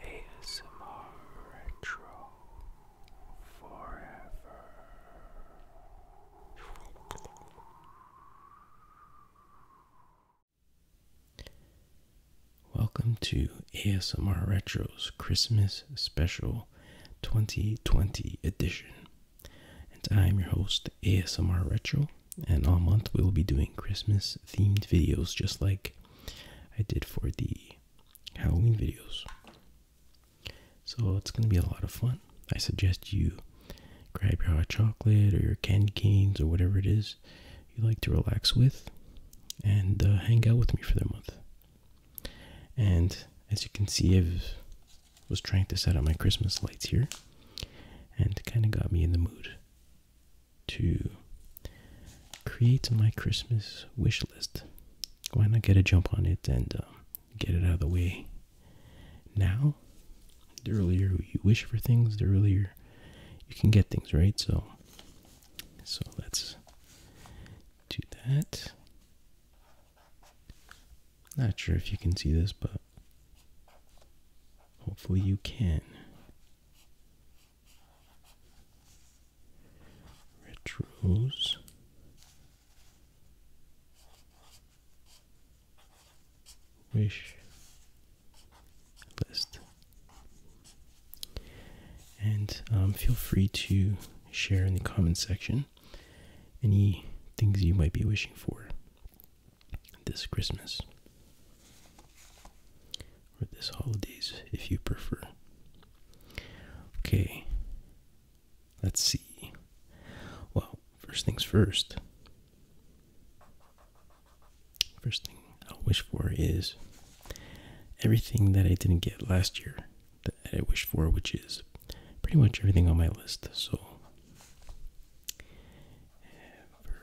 ASMR Retro Forever. Welcome to ASMR Retro's Christmas Special 2020 Edition. And I'm your host, ASMR Retro and all month we'll be doing Christmas themed videos just like I did for the Halloween videos. So it's going to be a lot of fun. I suggest you grab your hot chocolate or your candy canes or whatever it is you like to relax with and uh, hang out with me for the month. And as you can see, I was trying to set up my Christmas lights here and kind of got me in the mood to create my Christmas wish list. Why not get a jump on it and um, get it out of the way now? The earlier you wish for things, the earlier you can get things, right? So, so let's do that. Not sure if you can see this, but hopefully you can retros wish list and um, feel free to share in the comment section any things you might be wishing for this Christmas or this holidays if you prefer. Okay, let's see. Well, first things first. First thing I wish for is everything that I didn't get last year that I wish for, which is pretty much everything on my list. So everything.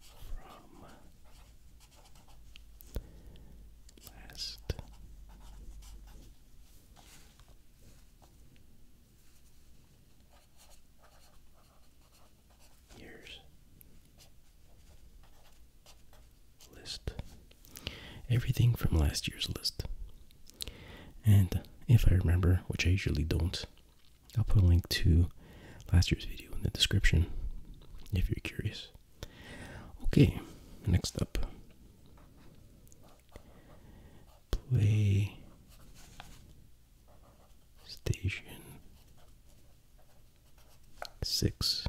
From last years list. Everything from last year's list. And if I remember, which I usually don't, I'll put a link to last year's video in the description if you're curious. Okay, next up. Play Station 6.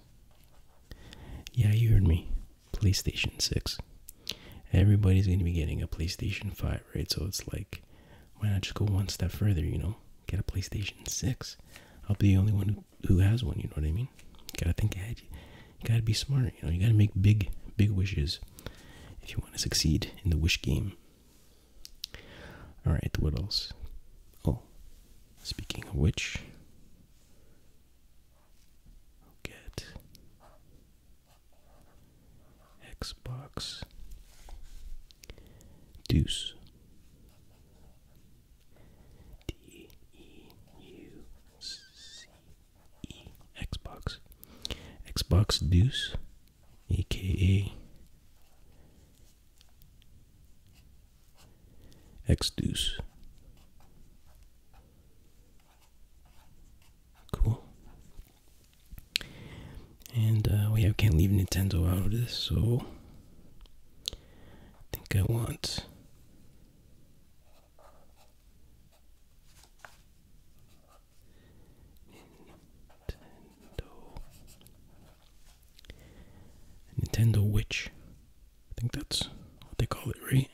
Yeah, you heard me. PlayStation 6. Everybody's going to be getting a PlayStation 5, right? So it's like, why not just go one step further, you know? Get a PlayStation 6. I'll be the only one who, who has one, you know what I mean? gotta think ahead. You gotta be smart, you know? You gotta make big, big wishes if you want to succeed in the wish game. Alright, what else? Oh, Speaking of which, get Xbox Deuce D E U C E Xbox Xbox Deuce, aka X-Deuce. Cool. And uh, we can't leave Nintendo out of this, so I think I want Nintendo Nintendo Witch. I think that's what they call it, right?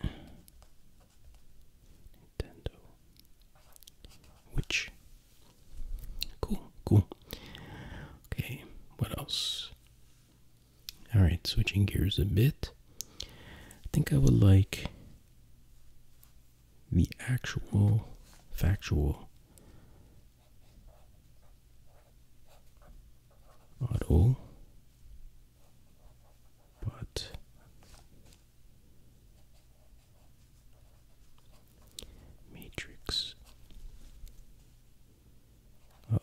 Nintendo Witch. Cool, cool. Okay, what else? Alright, switching gears a bit. I think I would like the actual factual Auto, but matrix of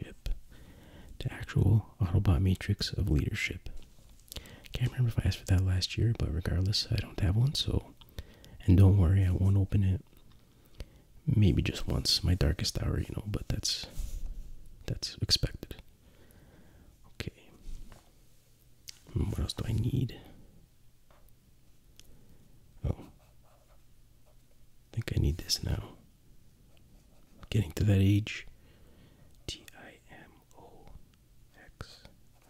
leadership, the actual Autobot matrix of leadership. Can't remember if I asked for that last year, but regardless, I don't have one, so. And don't worry, I won't open it. Maybe just once, my darkest hour, you know, but that's. That's expected. Okay. Hmm, what else do I need? Oh. I think I need this now. getting to that age. T I M O X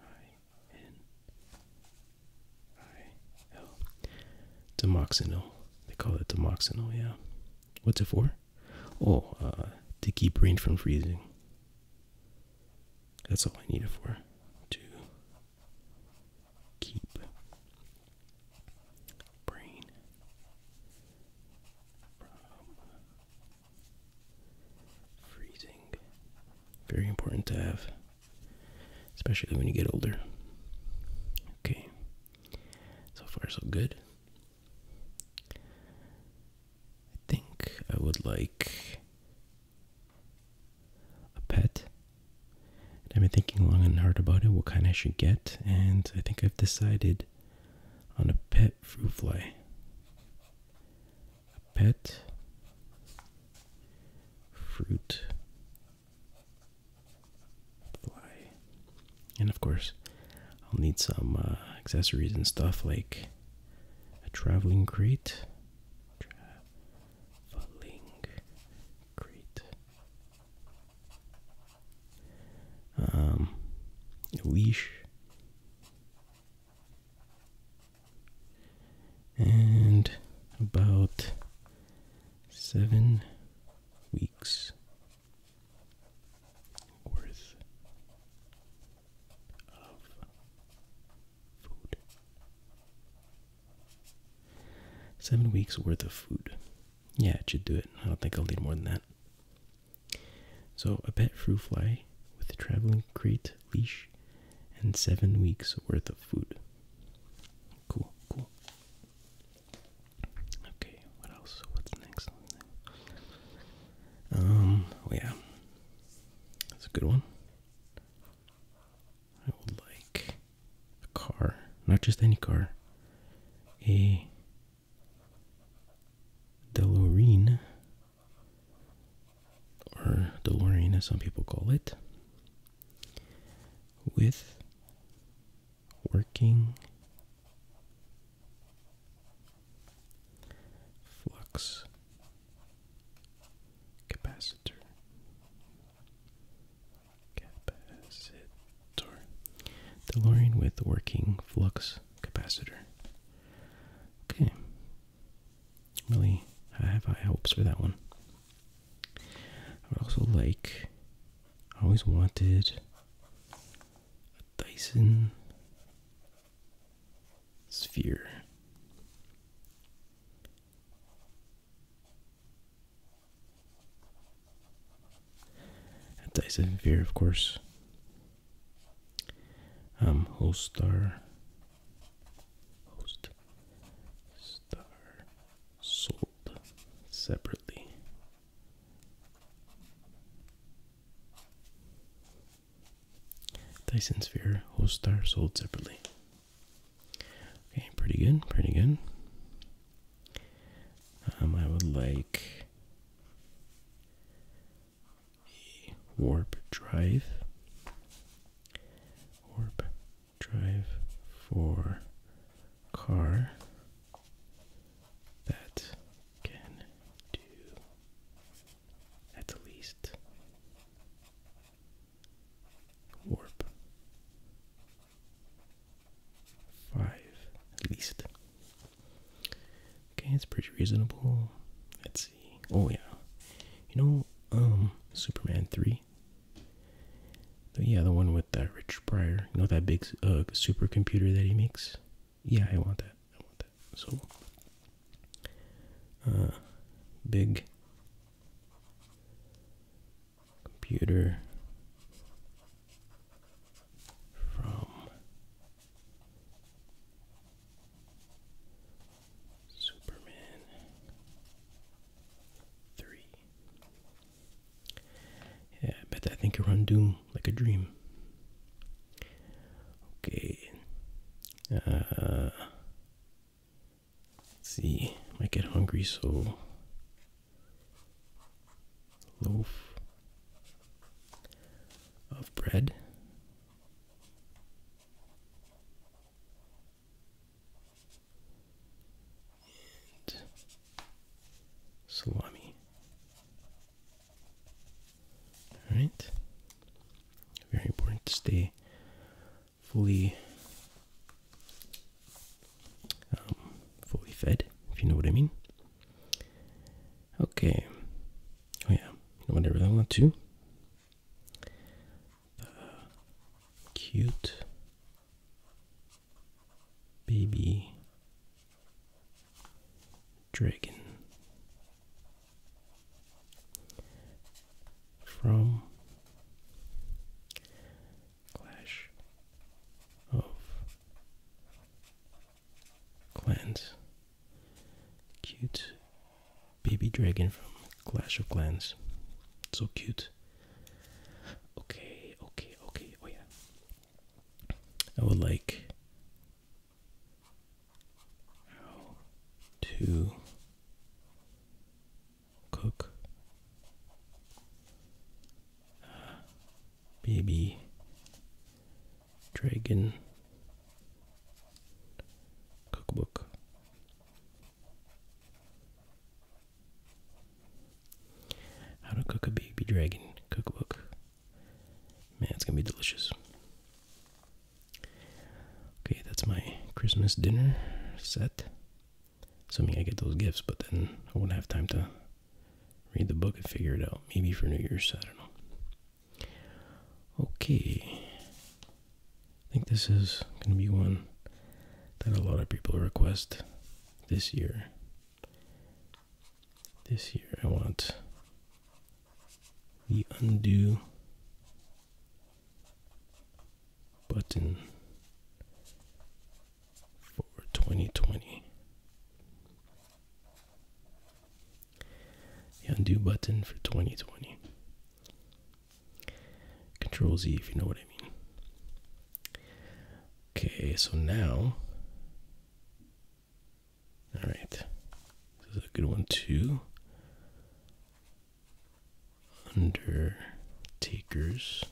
I N I L. Demoxinil. They call it Demoxinil, yeah. What's it for? Oh, uh, to keep rain from freezing. That's all I need it for. To keep brain from Freezing. Very important to have, especially when you get older. Okay. So far, so good. I think I would like a pet. And I've been thinking long and hard about it, what kind I should get, and I think I've decided on a pet fruit fly. A pet fruit fly. And of course, I'll need some uh, accessories and stuff like a traveling crate. Traveling crate. Um, a leash and about seven weeks worth of food. Seven weeks worth of food. Yeah, it should do it. I don't think I'll need more than that. So a pet fruit fly with a traveling crate leash and seven weeks worth of food. Cool, cool. Okay, what else? What's next? Um, oh, yeah. That's a good one. I would like a car. Not just any car. A Delorean, or DeLorean as some people call it, with working flux capacitor sorry, DeLorean with working flux capacitor. Okay, really I have high hopes for that one. I would also like, I always wanted a Dyson sphere. Tyson Sphere, of course. Um, host star, host star sold separately. Tyson Sphere, host star sold separately. Okay, pretty good, pretty good. Um, I would like a warp drive. Warp drive for car that can do at least warp five at least Okay, it's pretty reasonable. Let's see. Oh yeah. You know, um, Superman 3. yeah, the one with that Rich Pryor. You know that big uh supercomputer that he makes? Yeah, I want that. I want that. So uh big computer from Superman 3. Yeah, I bet I think you run Doom like a dream. Okay. Uh, let's see. might get hungry, so loaf of bread. And salami. All right. Very important to stay fully um, fully fed, if you know what I mean. Okay. Oh yeah, you know what I really want to? cute baby dragon from Clash of Clans. Cute baby dragon from Clash of Clans. So cute. Okay, okay, okay. Oh, yeah. I would like to cook baby dragon cookbook. How to cook a baby dragon cookbook. Man, it's gonna be delicious. Okay, that's my Christmas dinner set. Assuming I get those gifts, but then I wouldn't have time to read the book and figure it out. Maybe for New Year's, I don't know. Okay. I think this is going to be one that a lot of people request this year. This year, I want the undo button for 2020. The undo button for 2020. Control Z if you know what I mean. Okay, so now. Alright. This is a good one too. Under takers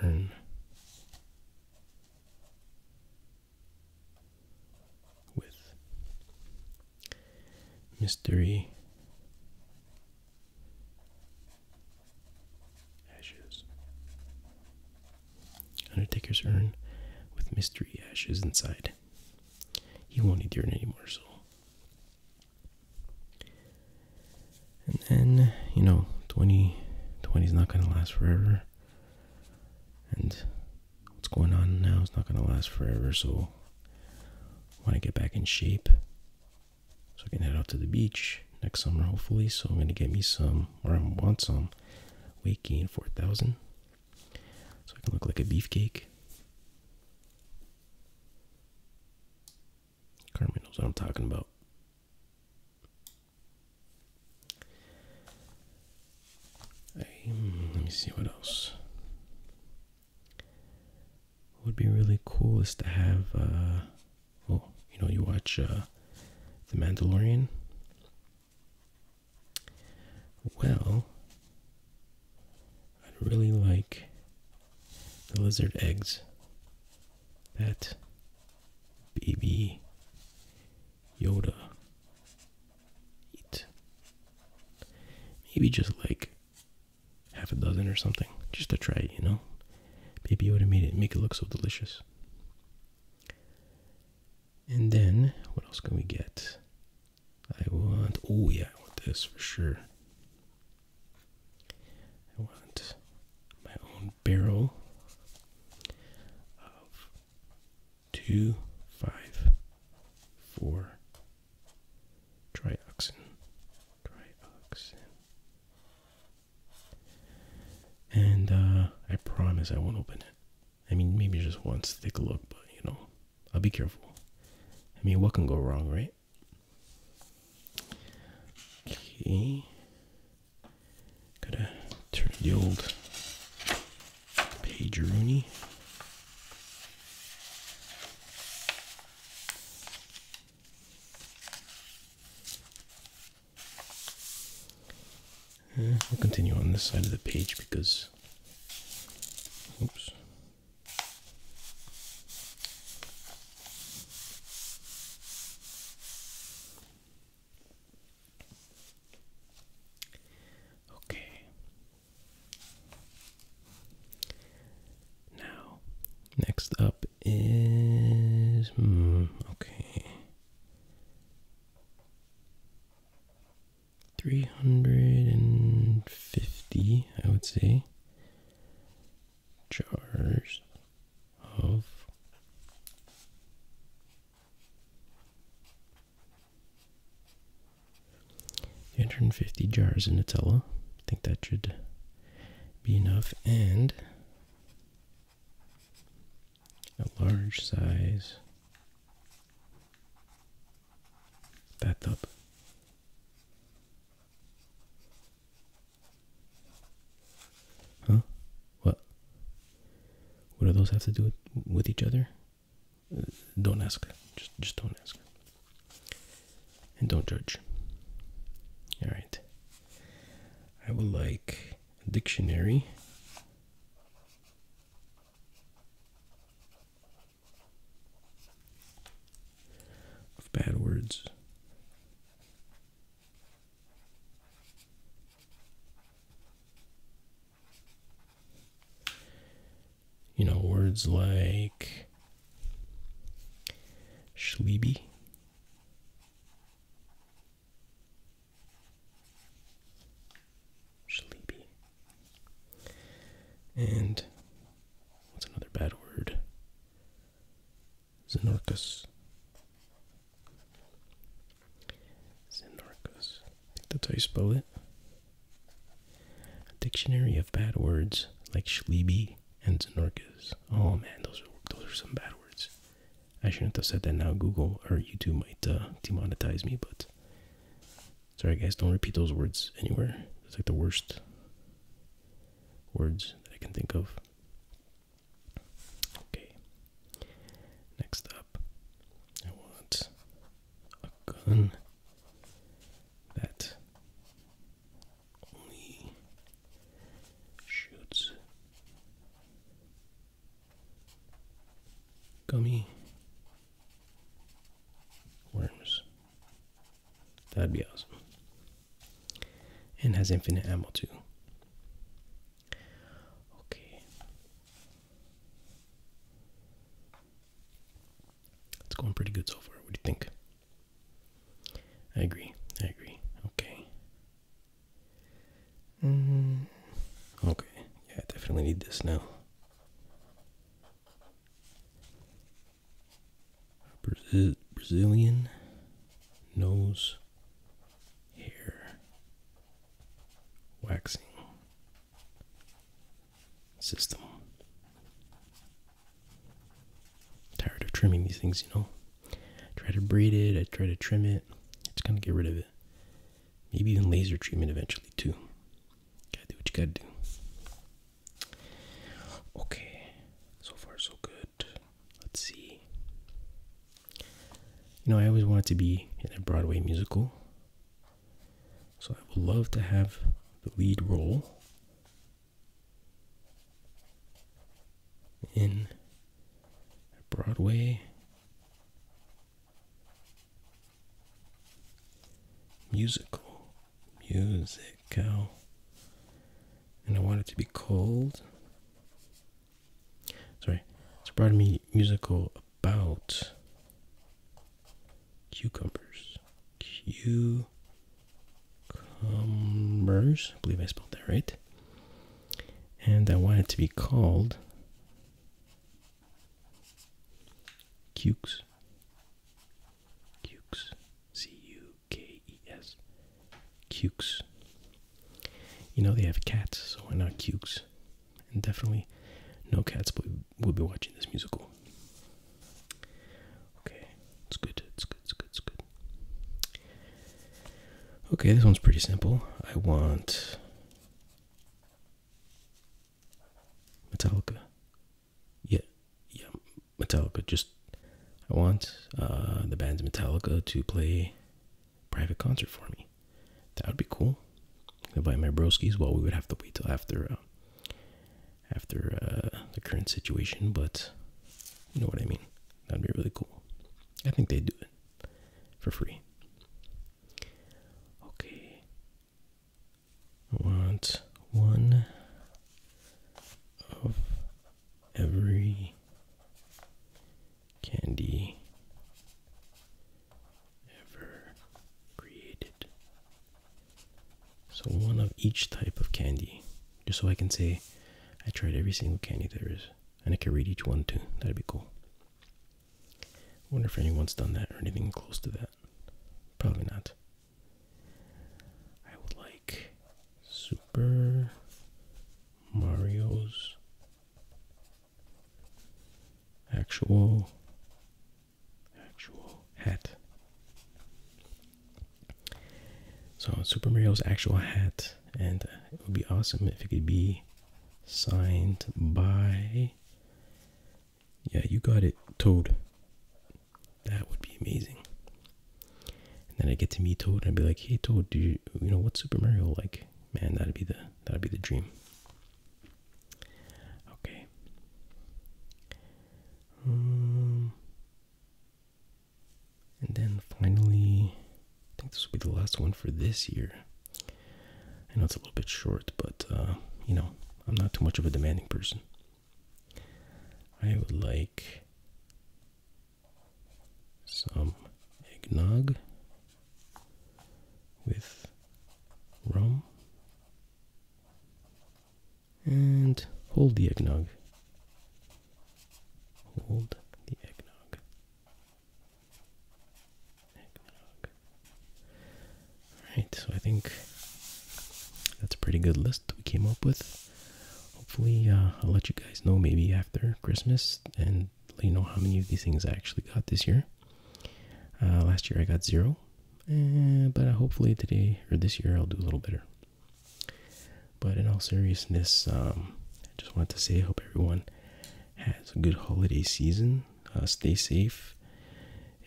and with mystery ashes. Undertaker's urn with mystery ashes inside. He won't need your urine anymore, so and then, you know, 2020 is not going to last forever. And what's going on now is not going to last forever. So I want to get back in shape. So I can head out to the beach next summer, hopefully. So I'm going to get me some, or I want some, weight gain 4000. So I can look like a beefcake. Carmen knows what I'm talking about. let me see what else. What would be really cool is to have, uh, you know, you watch uh, The Mandalorian. Well, I'd really like the lizard eggs that baby Yoda eat. Maybe just like half a dozen or something, just to try it, you know? Baby Yoda made it, make it look so delicious. And then, what else can we get? I want, oh yeah, I want this for sure. I want my own barrel of two, five, four, trioxin, trioxin. And uh, I promise I won't open it. I mean, maybe just once to take a look, but you know, I'll be careful. I mean, what can go wrong, right? Okay. Gotta turn the old page Rooney. I'll eh, continue on this side of the page because oops Okay. Now, next up is hmm, okay. 350, I would say, jars of three hundred and fifty jars of Nutella. I think that should be enough, and a large size bathtub. Huh? What? What do those have to do with, each other? Uh, don't ask. Just, just don't ask. And don't judge. All right. I would like a dictionary of bad words. You know, words like schleeby. Sleepy, and what's another bad word? Xenorcus. Xenorcus. I think that's how you spell it. dictionary of bad words like Schliebe and Xenorcus. Oh man, those are those are some bad words. I shouldn't have said that now. Google or YouTube might uh, demonetize me, but Sorry, guys, don't repeat those words anywhere. It's like the worst words that I can think of. Okay. Next up, I want a gun that only shoots gummy worms. That'd be awesome. And has infinite ammo too. Okay. It's going pretty good so far. What do you think? I agree. I agree. Okay. -hmm. Okay. Yeah, I definitely need this now. Brazilian nose hair waxing system. Tired of trimming these things, you know. Try to braid it, I try to trim it. It's gonna get rid of it. Maybe even laser treatment eventually too do what you gotta do. Okay, so far so good. Let's see. You know, I always wanted to be in a Broadway musical. So I would love to have the lead role in a Broadway musical, musical, and I want it to be called. Sorry, it's brought me musical about cucumbers, cucumbers. I believe I spelled that right, and I want it to be called Cukes. Cukes. C-U-K-E-S. Cukes. You know they have cats, so why not Cukes? And definitely no cats will be watching this musical. Okay, it's good, it's good, it's good, it's good. Okay, this one's pretty simple. I want Metallica. Yeah, yeah, Metallica. Just I want uh, the band's Metallica to play private concert for me. That would be cool. Invite my broskies. Well, we would have to wait till after uh, after uh, the current situation, but you know what I mean. That'd be really cool. I think they do it for free. Okay, want one of every candy ever created. So, one of each type of candy, just so I can say I tried every single candy there is, and I can read each one too. That'd be cool wonder if anyone's done that or anything close to that. Probably not. I would like Super Mario's actual actual hat. So Super Mario's actual hat, and it would be awesome if it could be signed by yeah, you got it, Toad. That would be amazing. And then I get to meet Toad and be like, hey Toad, do you you know what's Super Mario like? Man, that'd be the that'd be the dream. Okay. Um, and then finally, I think this will be the last one for this year. I know it's a little bit short, but uh, you know, I'm not too much of a demanding person. I would like some eggnog with rum and hold the eggnog. Hold the eggnog. Alright, so I think that's a pretty good list we came up with. Hopefully, uh, I'll let you guys know maybe after Christmas and let you know how many of these things I actually got this year. Uh, last year I got zero, eh, but uh, hopefully today or this year I'll do a little better. But in all seriousness, um, I just wanted to say I hope everyone has a good holiday season. Uh, stay safe.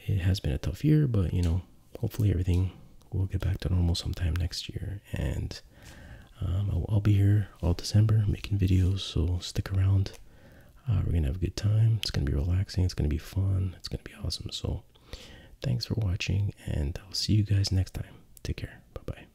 It has been a tough year, but you know, hopefully everything will get back to normal sometime next year. And um, I'll, i be here all December making videos, so stick around. Uh, we're gonna have a good time. It's gonna be relaxing. It's gonna be fun. It's gonna be awesome. So, thanks for watching, and I'll see you guys next time. Take care. Bye bye.